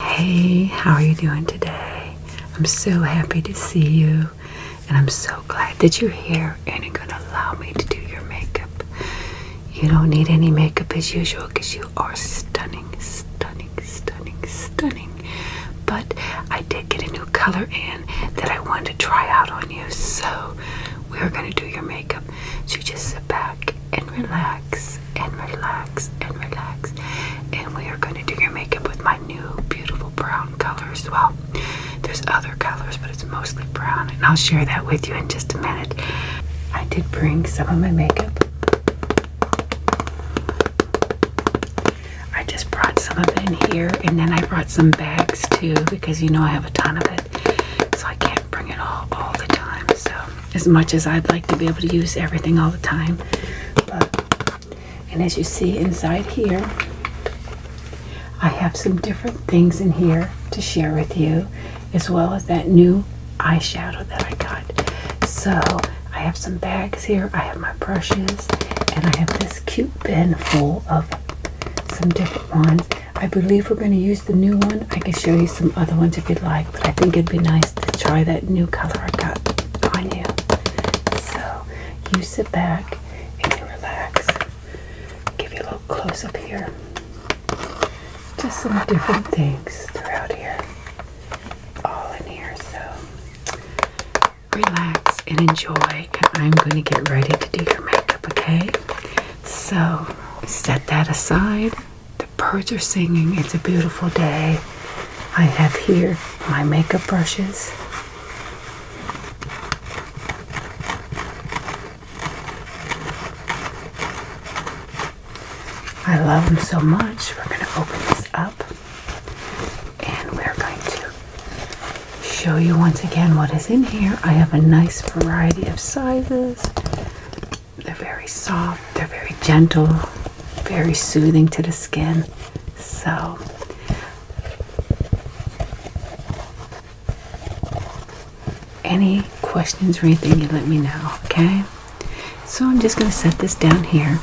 Hey, how are you doing today? I'm so happy to see you, and I'm so glad that you're here and you're gonna allow me to do your makeup. You don't need any makeup as usual because you are stunning, stunning, stunning, stunning. But I did get a new color in that I wanted to try out on you. So we're going to do your makeup. So you just sit back and relax and relax and relax. And we are going to do your makeup with my new beautiful brown color as well. There's other colors, but it's mostly brown. And I'll share that with you in just a minute. I did bring some of my makeup. I just brought some of it in here and then I brought some bags too because you know I have a ton of it. So I can't bring it all all the time. So as much as I'd like to be able to use everything all the time. But and as you see inside here, I have some different things in here to share with you, as well as that new eyeshadow that I got. So I have some bags here, I have my brushes, and I have this cute bin full of some different ones. I believe we're going to use the new one. I can show you some other ones if you'd like, but I think it'd be nice to try that new color I got on you. So you sit back and you relax. Give you a little close up here. Just some different things throughout here. All in here. So relax, and enjoy. And I'm going to get ready to do your makeup, okay? So set that aside. The birds are singing. It's a beautiful day. I have here my makeup brushes. I love them so much. We're going to open this up and we're going to show you once again what is in here. I have a nice variety of sizes. They're very soft, they're very gentle, very soothing to the skin. So, any questions or anything, you let me know, okay? So, I'm just going to set this down here.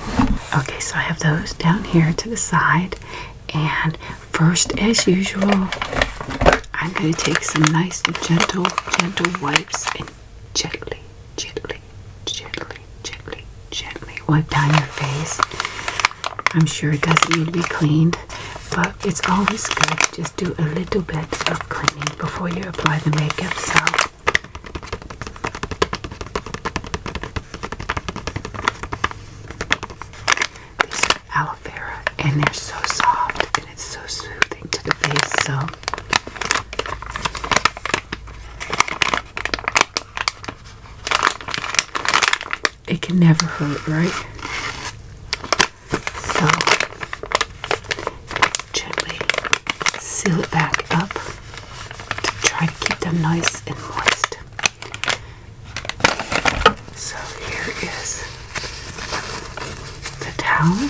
Okay, so I have those down here to the side, and first, as usual, I'm going to take some nice, gentle, gentle wipes and gently, gently, gently, gently, gently wipe down your face. I'm sure it doesn't need to be cleaned, but it's always good to just do a little bit of cleaning before you apply the makeup. So these are aloe vera and they're so soft and it's so soothing to the face. So it can never hurt, right? So gently seal it back up to try to keep them nice and moist. So here is the towel.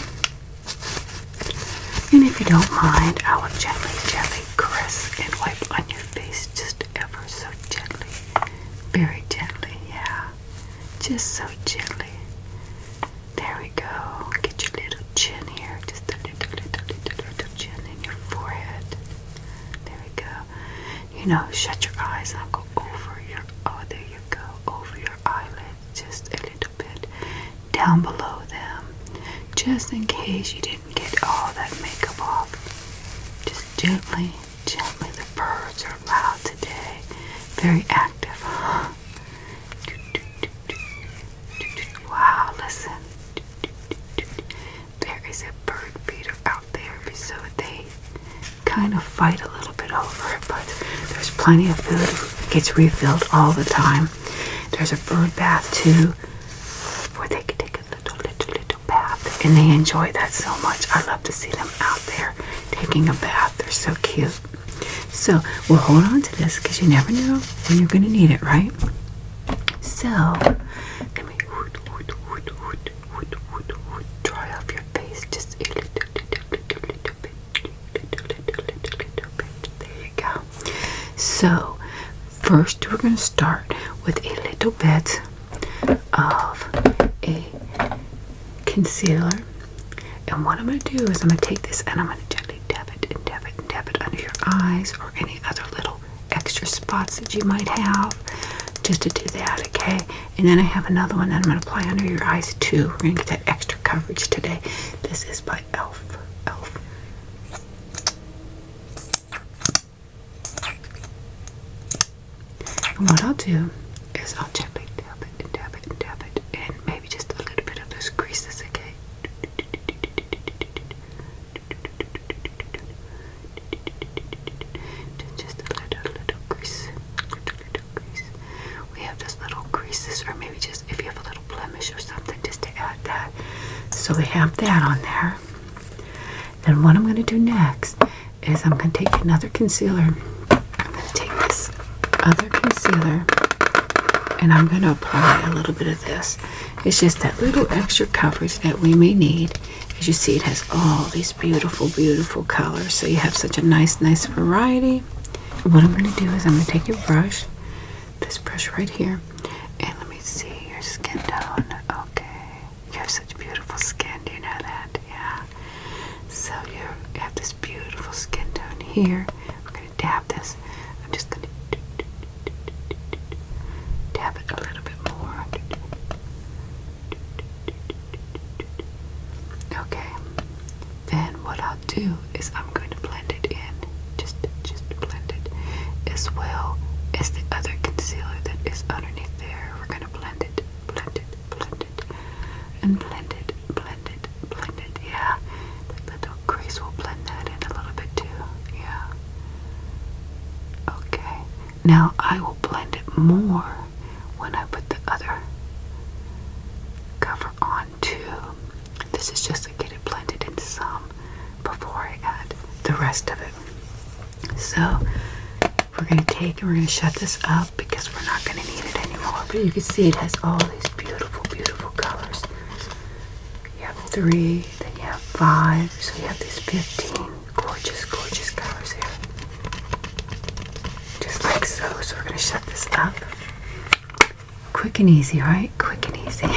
And if you don't mind, I will gently, gently caress and wipe on your face just ever so gently. Very gently, yeah. Just so gently. There we go. Get your little chin here. Just a little, little, little, little chin in your forehead. There we go you know, shut your eyes and go over your, oh, there you go, over your eyelids, just a little bit down below them, just in case you didn't get all that makeup off. Just gently, gently, the birds are loud today, very active, Wow, listen there is a bird feeder out there, so they kind of fight a little bit over it, but there's plenty of food. It gets refilled all the time. There's a bird bath too, where they can take a little, little, little bath, and they enjoy that so much. I love to see them out there taking a bath. They're so cute. So we'll hold on to this because you never know when you're going to need it, right? So dry off your face just a little, bit. There you go. So, first we're going to start with a little bit of a concealer. And what I'm going to do is I'm going to take this and I'm going to gently dab it dab it dab it under your eyes or any other little extra spots that you might have just to do that okay and then I have another one that I'm going to apply under your eyes too we're going to get that extra coverage today this is by elf elf what I'll do is I'll gently dab it dab it dab it and maybe just a little bit of those creases okay just a little, little crease. We have just little creases, or maybe just if you have a little blemish or something, just to add that. So we have that on there. And what I'm going to do next is I'm going to take another concealer. I'm going to take this other concealer and I'm going to apply a little bit of this. It's just that little extra coverage that we may need. As you see, it has all these beautiful, beautiful colors. So you have such a nice, nice variety. what I'm going to do is I'm going to take your brush, this brush right here, and let me see your skin tone. Okay. You have such beautiful skin. Do you know that? Yeah. So you have this beautiful skin tone here. We're going to dab this. I'm just going to Tap it a little bit more. Okay. Then what I'll do is I'm going to blend it in. Just just blend it as well as the other concealer that is underneath there. We're gonna blend it, blend it, blend it, and blend it, blend it, blend it. Yeah. That little crease will blend that in a little bit too. Yeah. Okay, now I will blend it more when I put the other cover onto. This is just to get it blended in some before I add the rest of it. So we're going to take and we're going to shut this up because we're not going to need it anymore. But you can see it has all these beautiful, beautiful colors. You have three, then you have five, so you have these 15 gorgeous, gorgeous colors here. Just like so. So we're going to shut this up. Quick and easy, right? Quick and easy.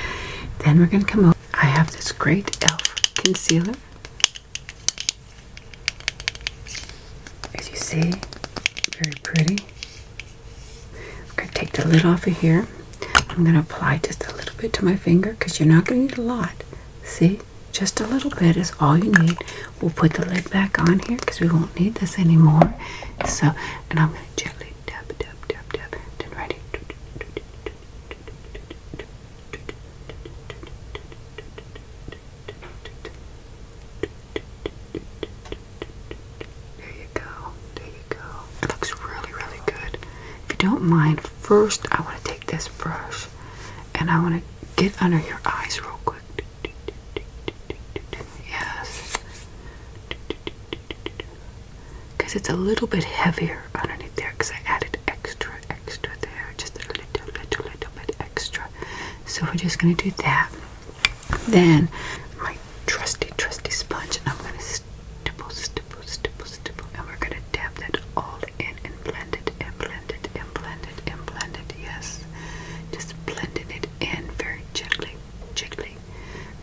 then we're going to come over. I have this great e.l.f. concealer. As you see, very pretty. I'm going to take the lid off of here. I'm going to apply just a little bit to my finger because you're not going to need a lot. See? Just a little bit is all you need. We'll put the lid back on here because we won't need this anymore. So, and I'm going to gently dab, dab, dab, dab, then right there you go. There you go. It looks really, really good. If you don't mind, first I want to take this brush and I want to get under your eyes real quick. Yes. Because it's a little bit heavier underneath there because I added extra, extra there. Just a little, little, little bit extra. So we're just going to do that. Then my trusty, trusty sponge, and I'm gonna stipple, stipple, stipple, stipple, and we're gonna dab that all in and blend it, and blend it, and blend it, and blend it. Yes, just blending it in very gently, gently,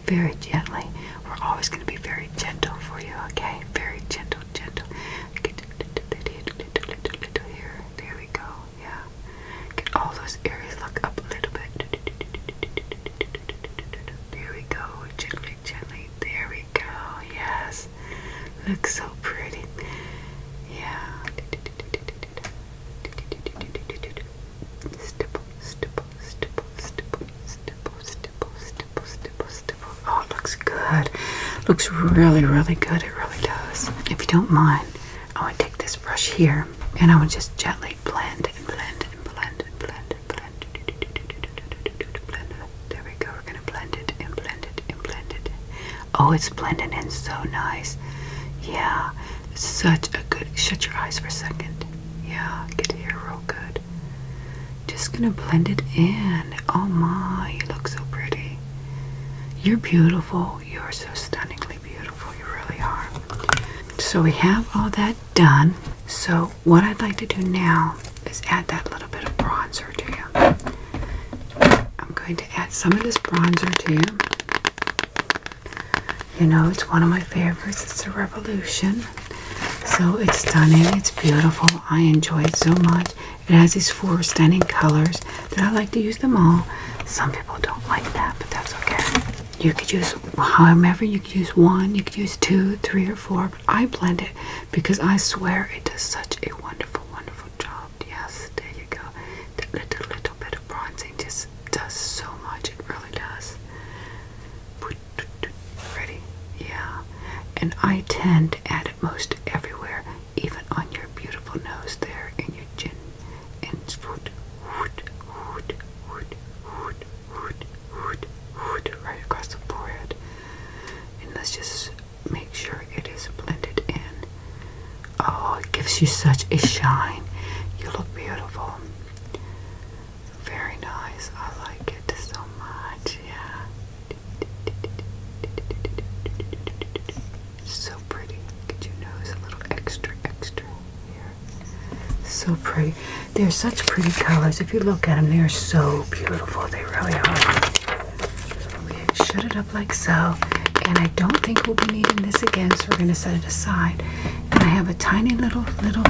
very gently. We're always gonna be very gentle for you, okay? Very gentle, gentle. Get little, little, little, little here. There we go. Yeah. Get all those areas. Look up a little bit. There we go. Gently, gently. There we go. Yes. Looks so pretty. Yeah. Stipple, stipple, stipple, stipple, stipple, stipple, stipple, stipple, stipple. Oh, looks good. Looks really, really good. It really does. If you don't mind, I would take this brush here and I would just gently blend and blend and blend and blend blend. blend there we go. We're gonna blend it and blend it and blend it. Oh, it's blending in so nice. Yeah, such a good. Shut your eyes for a second. Yeah, get here real good. Just gonna blend it in. Oh my, you look so pretty. You're beautiful. You are so stunningly beautiful. You really are. So we have all that done. So what I'd like to do now is add that little bit of bronzer to you. I'm going to add some of this bronzer to you. You know, it's one of my favorites. It's a revolution. So it's stunning. It's beautiful. I enjoy it so much. It has these four stunning colors that I like to use them all. Some people don't like that, but that's okay. You could use however you could use one, you could use two, three, or four. But I blend it because I swear it does such a wonderful, wonderful job. Yes, there you go. That little, bit of bronzing just does so much. It really does. Ready? Yeah. And I tend to add it most everywhere, even on your beautiful nose there and your chin. And wood, right across the forehead. And let's just make sure it is blended in. Oh, it gives you such a shine. You look beautiful. Very nice. I like it so much. Yeah. So pretty. Get your nose a little extra, extra so pretty. They're such pretty colors. If you look at them, they are so beautiful. They really are. We shut it up like so. And I don't think we'll be needing this again, so we're going to set it aside. And I have a tiny little, little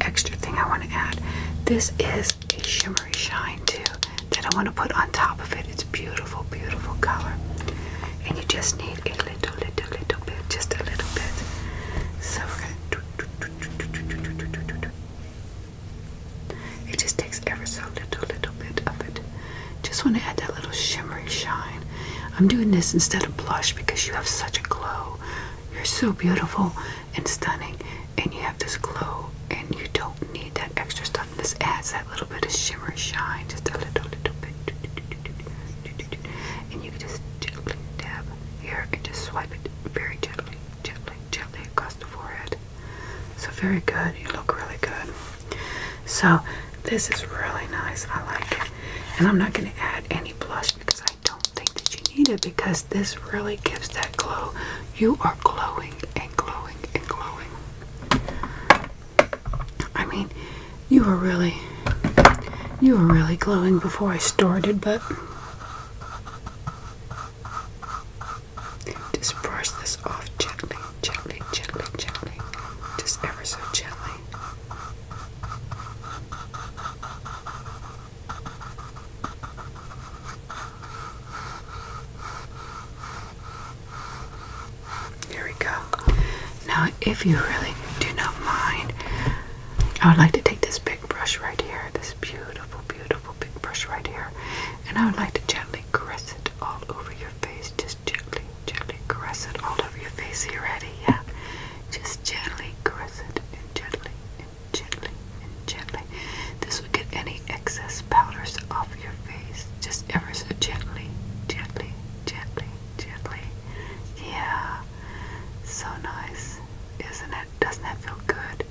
extra thing I want to add. This is a shimmery shine, too, that I want to put on top of it. It's beautiful, beautiful color. And you just need a little, little, little bit, just a little bit. So we're going to it just takes ever so little, little bit of it. Just want to add that little shimmery shine. I'm doing this instead of blush because you have such a glow. You're so beautiful and stunning, and you have this glow, and you don't need that extra stuff. This adds that little bit of shimmer shine, just a little, little bit and you can just gently dab here and just swipe it very gently, gently, gently across the forehead. So very good. You look really good. So this is really nice. I like it. And I'm not going to add any blush because I don't think that you need it because this really gives that glow. You are glowing and glowing and glowing. I mean, you were really, you were really glowing before I started, but just brush this off gently, gently, gently, gently, just ever so gently. Here we go. Now, if you really do not mind, I would like to take this big brush right here, this beautiful, beautiful big brush right here, and I would like to gently caress it all over your face. Just gently, gently caress it all over your face. Are you ready? Yeah. Just gently caress it and gently and gently and gently. This will get any excess powders off your face. Just ever so gently, gently, gently, gently. Yeah. So nice, isn't it? Doesn't that feel good?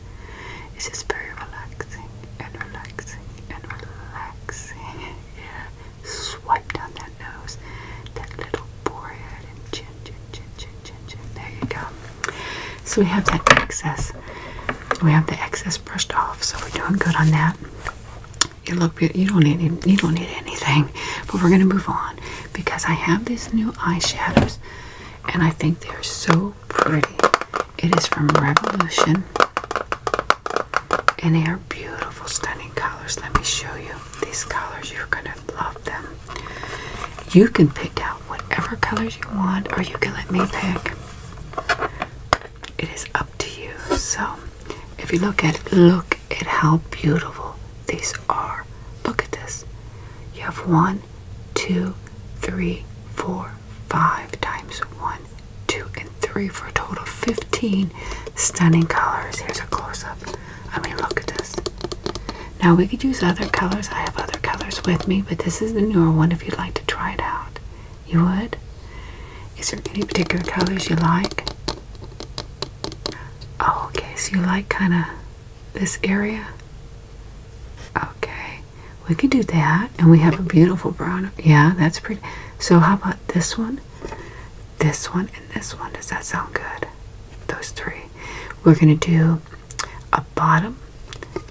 It's just very relaxing and relaxing and relaxing. yeah. Swipe down that nose, that little forehead and chin, chin, chin, chin, chin, chin. There you go. So we have that excess. We have the excess brushed off, so we're doing good on that. You look, you don't need, you don't need anything. But we're gonna move on because I have these new eyeshadows and I think they're so pretty. It is from Revolution and they are beautiful, stunning colors. Let me show you these colors. You're going to love them. You can pick out whatever colors you want or you can let me pick. It is up to you. So if you look at it, look at how beautiful these are. Look at this. You have one, two, three, four, five times one, two, and three for a total of 15 stunning colors. Here's a close up. I mean, look at this. Now, we could use other colors. I have other colors with me, but this is the newer one if you'd like to try it out. You would? Is there any particular colors you like? Oh, okay, so you like kind of this area? Okay, we can do that. And we have a beautiful brown. Yeah, that's pretty. So, how about this one, this one, and this one? Does that sound good? Those three. We're going to do a bottom,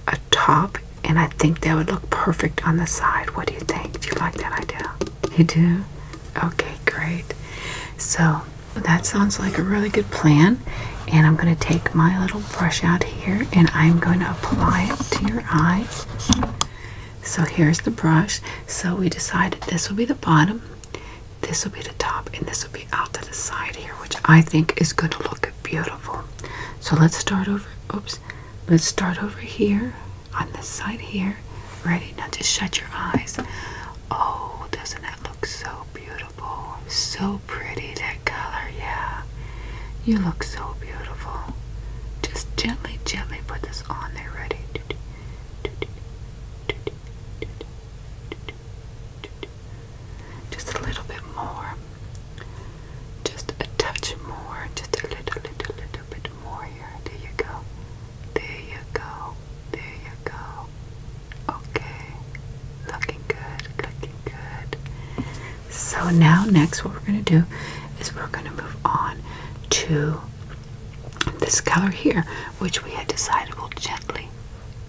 a top, and I think that would look perfect on the side. What do you think? Do you like that idea? You do? Okay, great. So, that sounds like a really good plan. And I'm going to take my little brush out here and I'm going to apply it to your eye. So here's the brush. So we decided this will be the bottom, this will be the top, and this will be out to the side here, which I think is going to look beautiful. So let's start over. Oops. Let's start over here on this side here. Ready? Now just shut your eyes. Oh, doesn't that look so beautiful? So pretty, that color, yeah. You look so beautiful. Just gently, gently put this on there. Ready? Just a little bit more. Just a touch more. Just a little, little, little bit Good warrior. There you go. There you go. There you go. Okay. Looking good. Looking good. So now next what we're going to do is we're going to move on to this color here, which we had decided will gently,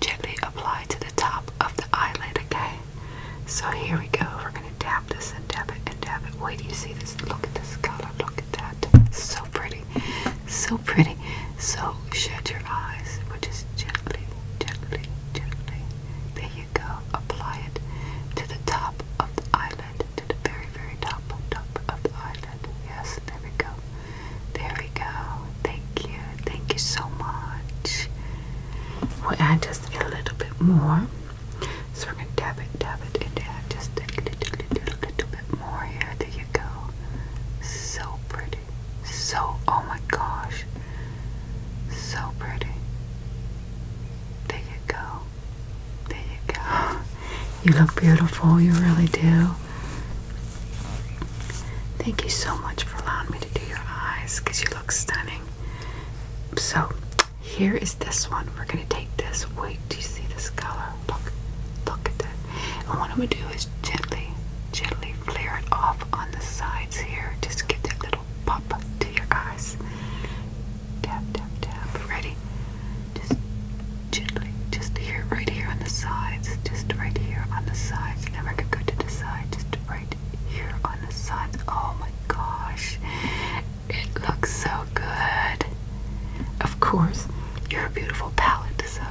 gently apply to the top of the eyelid, okay? So here we go. We're going to tap this and tap it and tap it. Wait, do you see this? Look at this color. Look at that. So pretty. So so pretty. So shut your eyes, but just gently, gently, gently. There you go. Apply it to the top of the eyelid, to the very, very top, top of the eyelid. Yes, there we go. There we go. Thank you. Thank you so much. We'll add just a little bit more. So we're gonna dab it, dab it, and dab just a little, little, little bit more here. There you go. So pretty. So, oh my gosh. So pretty. There you go. There you go. You look beautiful. You really do. Thank you so much for allowing me to do your eyes because you look stunning. So, here is this one. We're going to take this. Wait, do you see this color? Look, look at that. And what I'm going to do is gently, gently flare it off on the sides here. Just get that little pop to your eyes. Tap, tap, tap. Ready? Just gently, just here, right here on the sides. Just right here on the sides. Never go to the side. Just right here on the sides. Oh my gosh. It looks so good. Of course, you're a beautiful palette, so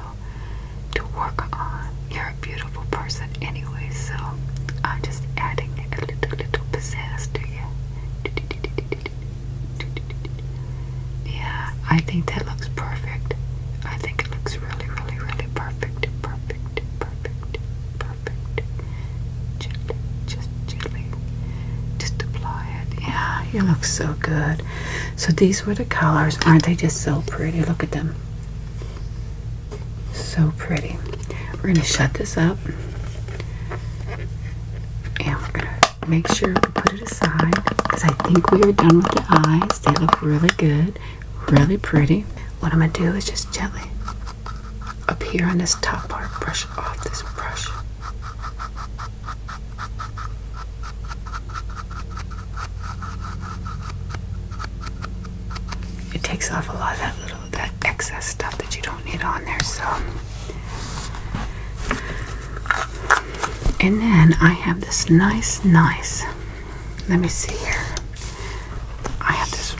to work on. You're a beautiful person anyway, so I'm just adding a little, little pizzazz to you. Yeah, I think that looks perfect. I think it looks really, really, really perfect. Perfect, perfect, perfect. Gently, just gently. Just apply it. Yeah, you look so good. So these were the colors. Aren't they just so pretty? Look at them. So pretty. We're going to shut this up. And we're going to make sure we put it aside. Because I think we are done with the eyes. They look really good. Really pretty. What I'm going to do is just jelly up here on this top part, brush off this brush. It takes off a lot of that little that excess stuff that you don't need on there. So and then I have this nice, nice. Let me see here. I have this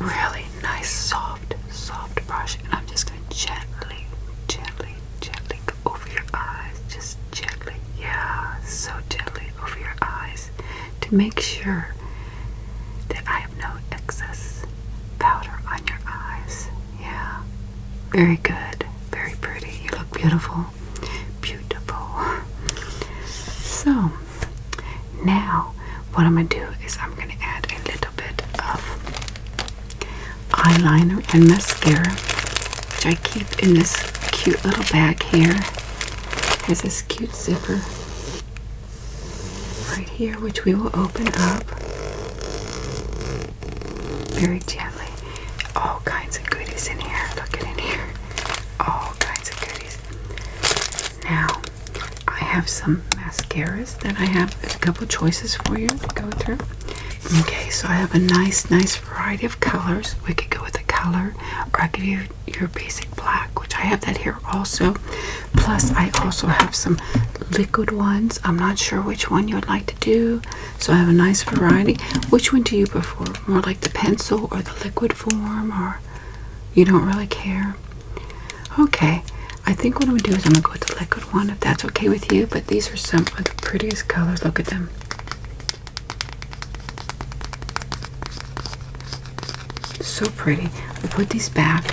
really nice, soft, soft brush, and I'm just going to gently, gently, gently over your eyes, just gently, yeah, so gently over your eyes to make sure that I have no excess powder on your eyes. Yeah, very good, very pretty. You look beautiful, beautiful. So, now what I'm gonna do is I'm gonna add a little bit of eyeliner and mascara, which I keep in this cute little bag here. It has this cute zipper right here, which we will open up very gently. All kinds of goodies in here. Look at in here. All kinds of goodies. Now, I have some mascaras Then I have a couple choices for you to go through. Okay, so I have a nice, nice variety of colors. We could go with a color, or I could do your basic black, which I have that here also. Plus, I also have some liquid ones. I'm not sure which one you would like to do, so I have a nice variety. Which one do you prefer? More like the pencil or the liquid form, or you don't really care? Okay, I think what I'm gonna do is I'm gonna go with the liquid one if that's okay with you. But these are some of the prettiest colors. Look at them. So pretty. I put these back.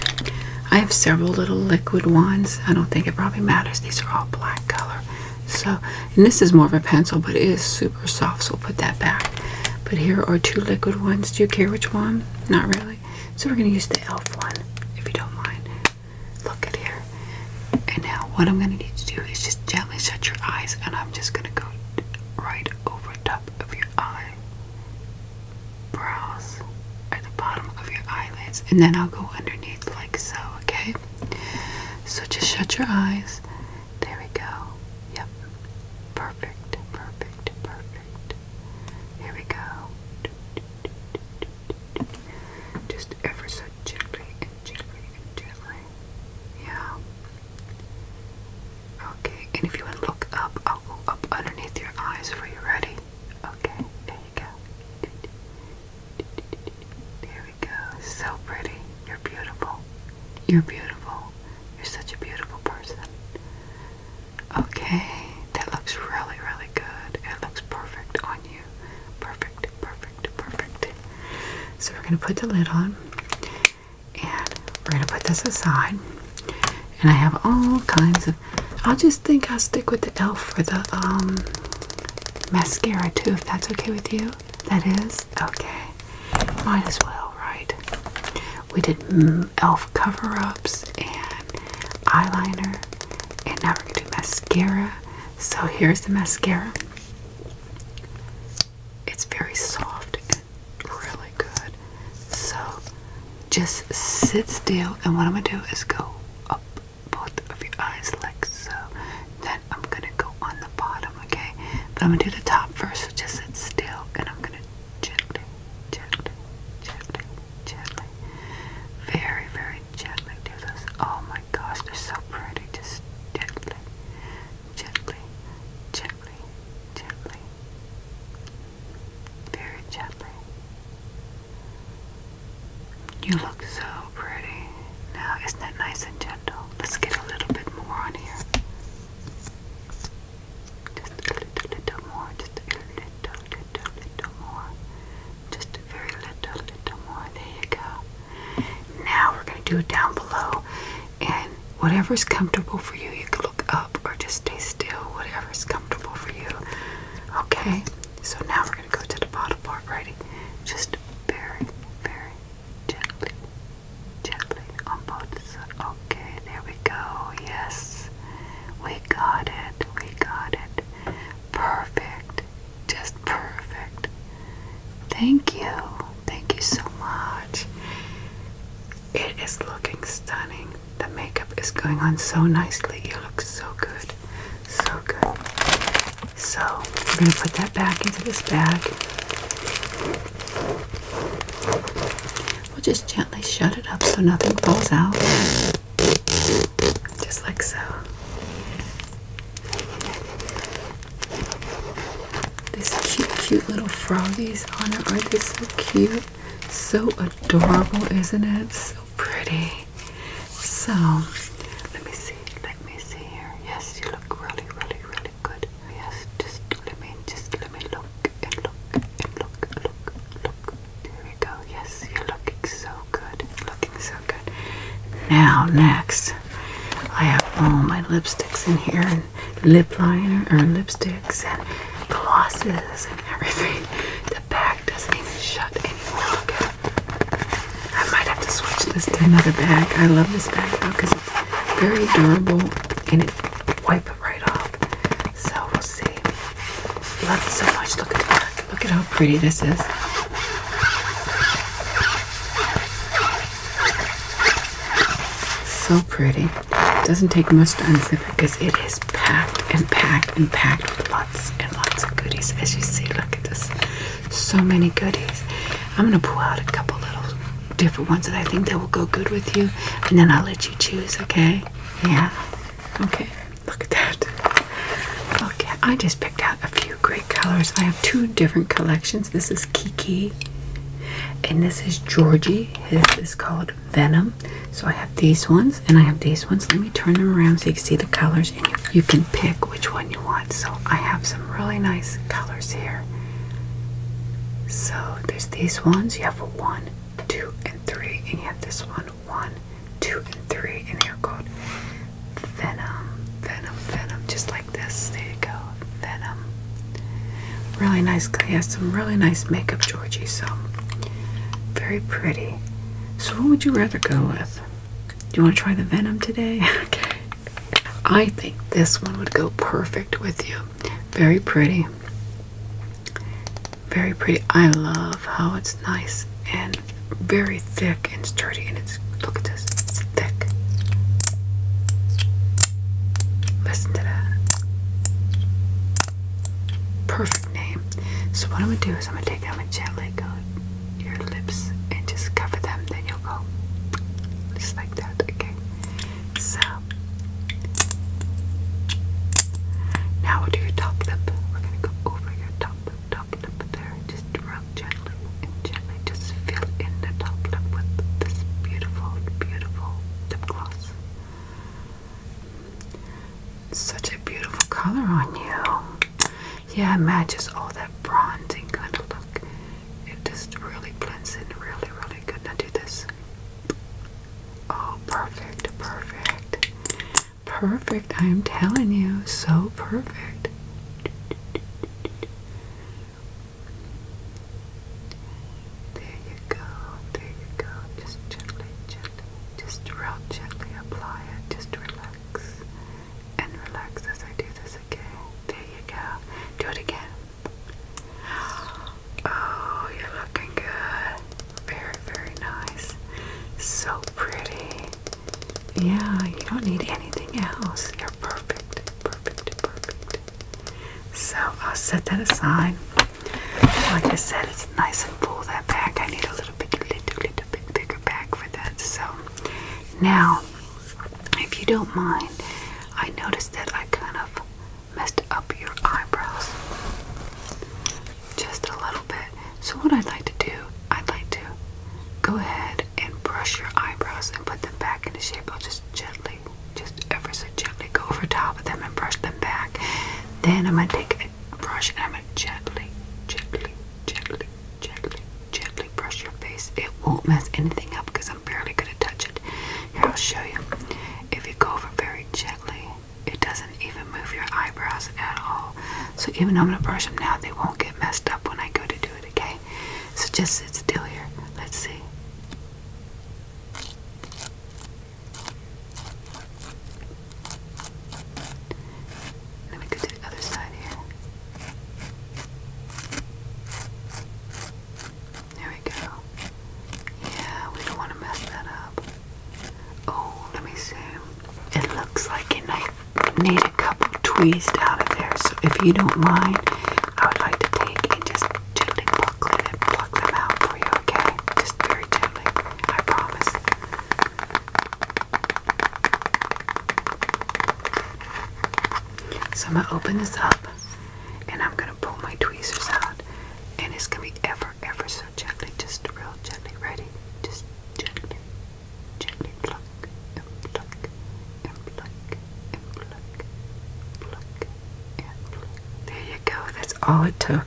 I have several little liquid ones. I don't think it probably matters. These are all black color. So, and this is more of a pencil, but it is super soft, so we'll put that back. But here are two liquid ones. Do you care which one? Not really. So we're going to use the e.l.f. one, if you don't mind. Look at here. And now, what I'm going to need to do is just gently shut your eyes, and I'm just going to go right over top of your eye, brows, at the bottom of your eyelids, and then I'll go underneath like so, okay? So just shut your eyes. There we go. Yep. Perfect, perfect, perfect. Here we go. Just ever so gently and gently and gently. Yeah. Okay, and if you want look up, i up underneath your eyes for you. Ready? Okay, there you go. There we go. So pretty. You're beautiful. You're beautiful. You're such a beautiful person. Okay, that looks really, really good. It looks perfect on you. Perfect, perfect, perfect. So we're going to put the lid on and we're going to put this aside. And I have all kinds of. I'll just think I'll stick with the e.l.f. for the um, mascara too, if that's okay with you. That is? Okay. Might as well, right? We did mm, e.l.f. cover ups and eyeliner, and now we're gonna do mascara. So here's the mascara. It's very soft and really good. So just sit still, and what I'm gonna do is go up both of your eyes like so. Then I'm gonna go on the bottom, okay? But I'm gonna do the top first, so just sit still, and I'm gonna gently, gently, gently, gently, very, very gently do this. Oh my gosh, they're so pretty. Just gently, gently, gently, gently, very gently. You look so pretty. Now, isn't that nice and gentle? Let's get a little bit more on here. Just a little, little more. Just a little little, little more. Just a very little, little more. There you go. Now we're going to do it down below. And whatever's comfortable for you, you can look up or just stay still. Whatever's comfortable for you. Okay? So now we're going to go to the bottom part, righty? Just very, very gently, gently on both sides. Okay, there we go. Yes. We got it. We got it. Perfect. Just perfect. Thank you. Thank you so much. It is looking stunning. The makeup is going on so nicely. You look so good. So good. So, we're going to put that back into this bag. We'll just gently shut it up so nothing falls out. Just like so. These cute, cute little froggies on it. are they so cute? So adorable, isn't it? So pretty. So, let me see. Let me see here. Yes, you look really, really, really good. Yes, just let me, just let me look and look and look, look, look, there we go. Yes, you're looking so good. Looking so good. Now, next, I have all my lipsticks in here and lip liner or lipsticks and glosses and everything. The bag doesn't even shut anymore. I might have to switch this to another bag. I love this bag though because it's very durable and it wipes it right off. So we'll see. Love it so much. Look at the Look at how pretty this is. So pretty. Doesn't take much to unzip it because it is packed and packed and packed with lots and lots of goodies. As you see, look at this. So many goodies. I'm gonna pull out a couple little different ones that I think that will go good with you, and then I'll let you choose. Okay? Yeah. Okay. Look at that. Okay, I just picked out a few great colors. I have two different collections. This is Kiki, and this is Georgie. His is called Venom. So I have these ones, and I have these ones. Let me turn them around so you can see the colors, and you, can pick which one you want. So I have some really nice colors here. So there's these ones. You have a one, two, and three, and you have this one. 1, 2, and 3, and here goes Venom, Venom, Venom, just like this. There you go, Venom. Really nice, he has some really nice makeup, Georgie, so very pretty. So, what would you rather go with? Do you want to try the Venom today? okay. I think this one would go perfect with you. Very pretty. Very pretty. I love how it's nice and very thick and sturdy. And it's look at this. It's thick. Listen to that. Perfect name. So what I'm gonna do is I'm gonna take them and gently go your lips and just cover them. Then you'll go just like that. Okay. So now to your top lip. We're gonna go over your top lip, top lip there. Just rub gently and gently. Just fill in the top lip with this beautiful, beautiful lip gloss. Such a beautiful color on you. Yeah, it matches all that bronzing kind of look. It just really blends in really, really good. Now do this. Oh, perfect, perfect. Perfect, I am telling you, so perfect. There you go, there you go. Just gently, gently, just real gently apply it. Just relax and relax as I do this again. There you go. Do it again. Oh, you're looking good. Very, very nice. So pretty. Yeah, you don't need anything else. You're perfect, perfect, perfect. So I'll set that aside. Like I said, it's nice and pull that back. I need a little bit, little, little bit bigger bag for that. So now, if you don't mind, I noticed that I kind of messed up your eyebrows just a little bit. So, what I'd like to do, I'd like to go ahead and brush your eyebrows and put them back into shape. I'll just gently, just ever so gently go over top of them and brush them back. Then, I'm going to take a brush and I'm going to gently, gently, gently, gently, gently brush your face. It won't mess anything up because I'm barely going to touch it. Here, I'll show you. If you go over very gently, it doesn't even move your eyebrows at all. So even though I'm gonna brush them now, they won't get messed up when I go to do it, okay? So just sit still here. Let's see. Let me go to the other side here. There we go. Yeah, we don't want to mess that up. Oh, let me see. It looks like you need a couple tweezed out of there. So if you don't mind, I would like to take and just gently buckle it and pluck them out for you, okay? Just very gently. I promise. So I'm gonna open this up and I'm gonna pull my tweezers out and it's gonna be ever ever so gently, just real gently, ready? Just gently, gently pluck and pluck and pluck pluck, pluck pluck. There you go, that's all it took.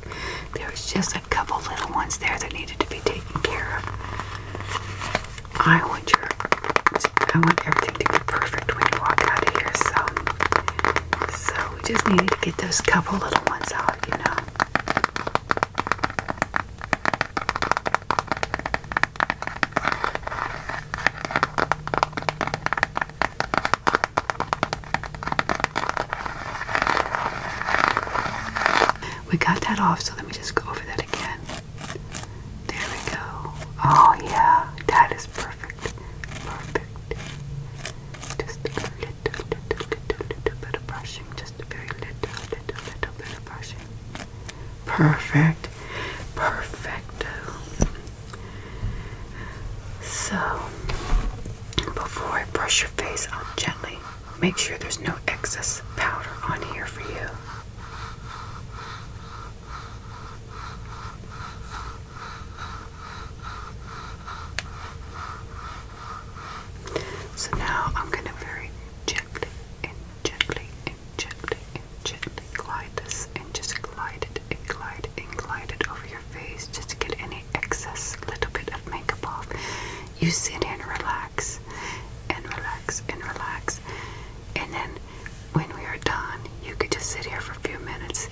There was just a couple little ones there that needed to be taken care of. I want your, I want everything to be perfect when you walk out of here, so so we just needed to get those couple little ones out, you know. We got that off, so let me just go over that again. There we go. Oh, yeah, that is perfect perfect, perfect. Just a little, little, little, little bit of brushing. Just a very little, little, little bit brushing. Perfect, perfect. So, before I brush your face out gently, make sure there's no excess powder on here for you. So now I'm going to very gently and gently and gently and gently glide this and just glide it and glide and glide it over your face just to get any excess little bit of makeup off. You sit and relax and relax and relax. And then when we are done, you could just sit here for a few minutes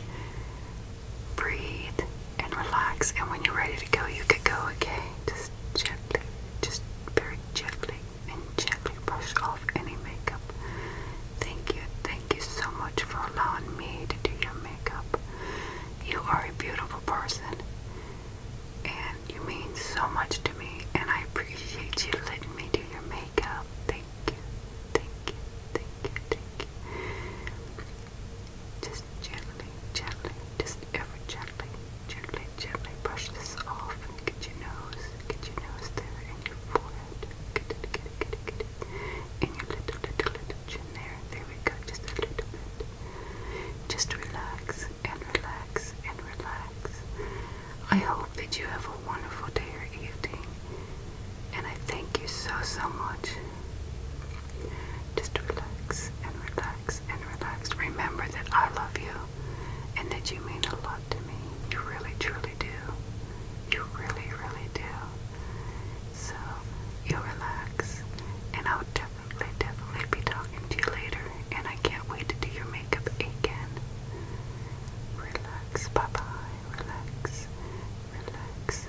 breathe and relax. And when you're ready to go, you could go, okay? Just gently, just very gently, and gently brush off any makeup. Thank you, thank you so much for allowing me to do your makeup. You are a beautiful person, and you mean so much to me, and I appreciate you letting me do your makeup. Thank you, thank you, thank you, thank you. Just gently, gently, just ever gently, gently, gently brush this off and get your nose, get your nose there and your forehead. Get it, get it, get it, get it. And your little, little, little chin there. There we go, just a little bit. Just relax and relax and relax. I hope that you have a wonderful day or evening. And I thank you so, so much. Just relax and relax and relax. Remember that I love you and that you mean a lot to me. You really, truly do. You really, really do. So you relax, and I'll definitely, definitely be talking to you later. And I can't wait to do your makeup again. Relax, bye bye. Relax, relax